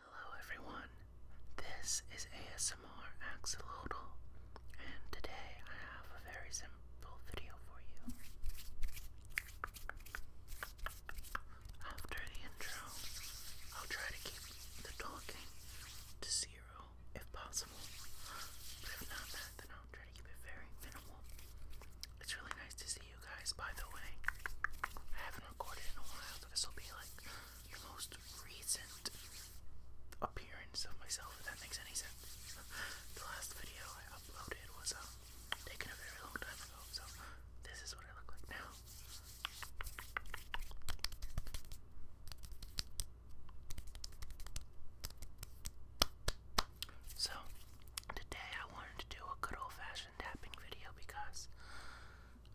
Hello everyone, this is ASMR Axolotl, and today I have a very simple video for you. After the intro, I'll try to keep the talking to zero if possible, but if not then I'll try to keep it very minimal. It's really nice to see guys, by the way. I haven't recorded in a while, so this will be like the most recent appearance of myself, if that makes any sense. the last video I uploaded was um, taken a very long time ago, so this is what I look like now. So, today I wanted to do a good old fashioned tapping video because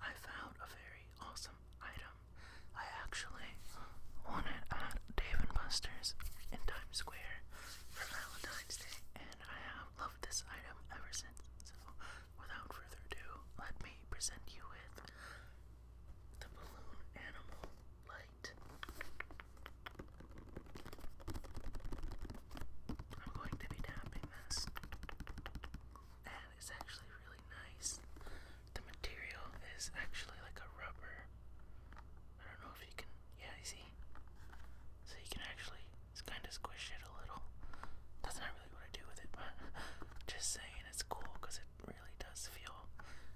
I found a very awesome item. I actually won it at Dave and Buster's in Times Square for Valentine's Day, and I have loved this item ever since. So, without further ado, let me present you with the balloon animal light. I'm going to be tapping this. And it's actually really nice. The material is actually like a rubber. I don't know if you can. Yeah, you see? So you can actually kind of squish it a little. That's not really what I do with it, but just saying it's cool because it really does feel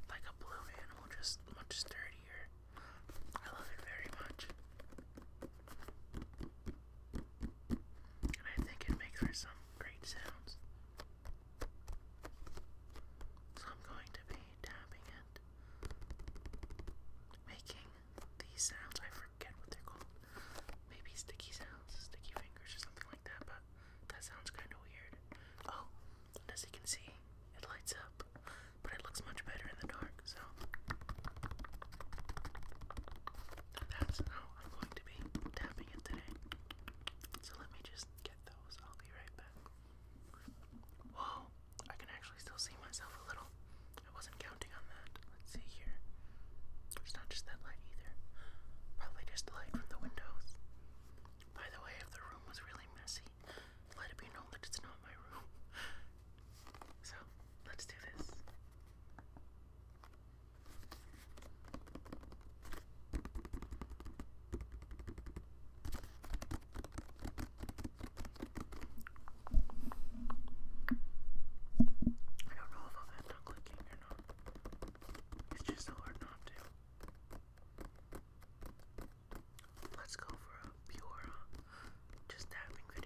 like a blue animal, just much sturdier. I love it very much. I think it makes for some great sounds. So I'm going to be tapping it, making these sounds. I forget what they're called. Maybe sticky sounds, sticky fingers, or something like that, but that sounds kind of weird. Oh, as you can see, it lights up, but it looks much better in the dark so that's how I'm going to be tapping it today. So let me just get those. I'll be right back. Whoa, I can actually still see myself a little. I wasn't counting on that. Let's see here. It's not just that light either. Probably just the light from the windows. By the way, if the room was really messy, let it be known that it's not my room. So Let's do this. I don't know if I'll end on clicking or not. It's just so hard not to. Let's go for a pure just tapping video.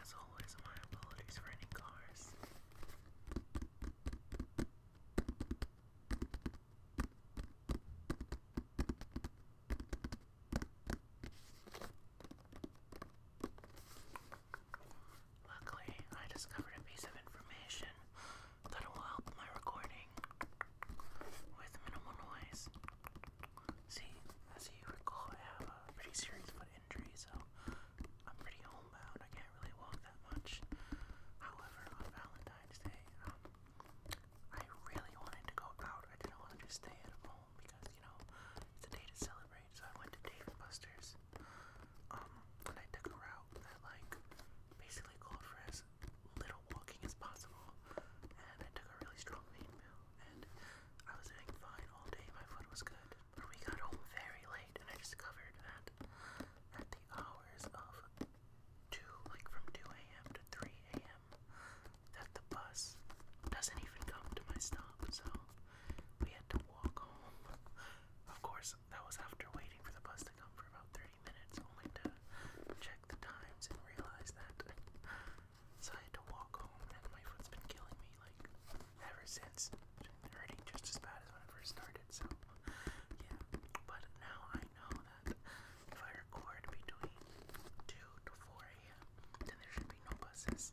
As always, my apologies for any cars. Luckily, I discovered a piece of information that will help my recording with minimal noise. See, as you recall, I have a pretty serious foot injury, so I'm pretty homebound. I can't really walk that much. However, on Valentine's Day, um, I really wanted to go out. I didn't want to just stay at home because you know it's a day to celebrate. So I went to Dave and Buster's, um, and I took a route that like basically called for as little walking as possible, and I took a really strong pain and I was doing fine all day. My foot was good, but we got home very late, and I discovered that at the hours of two, like from two a.m. to three a.m that the bus doesn't even come to my stop, so we had to walk home. Of course, that was after waiting for the bus to come for about 30 minutes, only to check the times and realize that. So I had to walk home, and my foot's been killing me like ever since. It's been hurting just as bad as when I first started, so yeah. But now I know if I record between 2 to 4 a.m., then there should be no buses.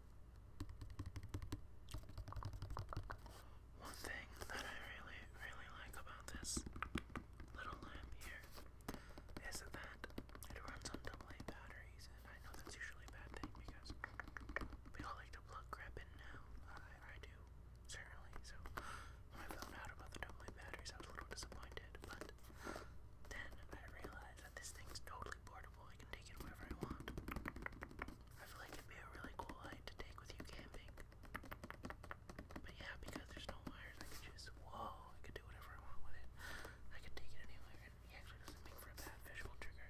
One thing that I really, really like about this little lamp here is that it runs on AA batteries, and I know that's usually a bad thing because we all like to plug crap in now. I, I do, certainly. So when I found out about the AA batteries, I was a little disappointed, but then I realized that this thing's totally portable. I can take it wherever I want. I feel like it'd be a really cool light to take with you camping. But yeah, because there's no wires, I could just, whoa, I could do whatever I want with it. I could take it anywhere, it actually doesn't make for a bad visual trigger.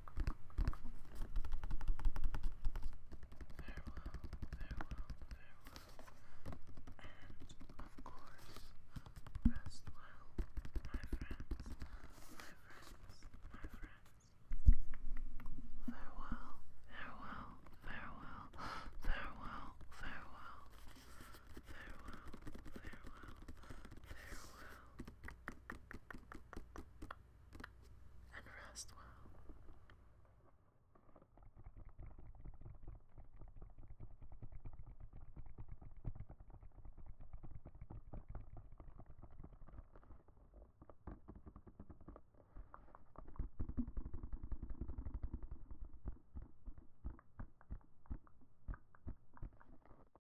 and of course, rest well, my friends, my friends, my friends. Farewell, farewell, farewell, farewell, farewell, farewell, farewell, farewell and rest well.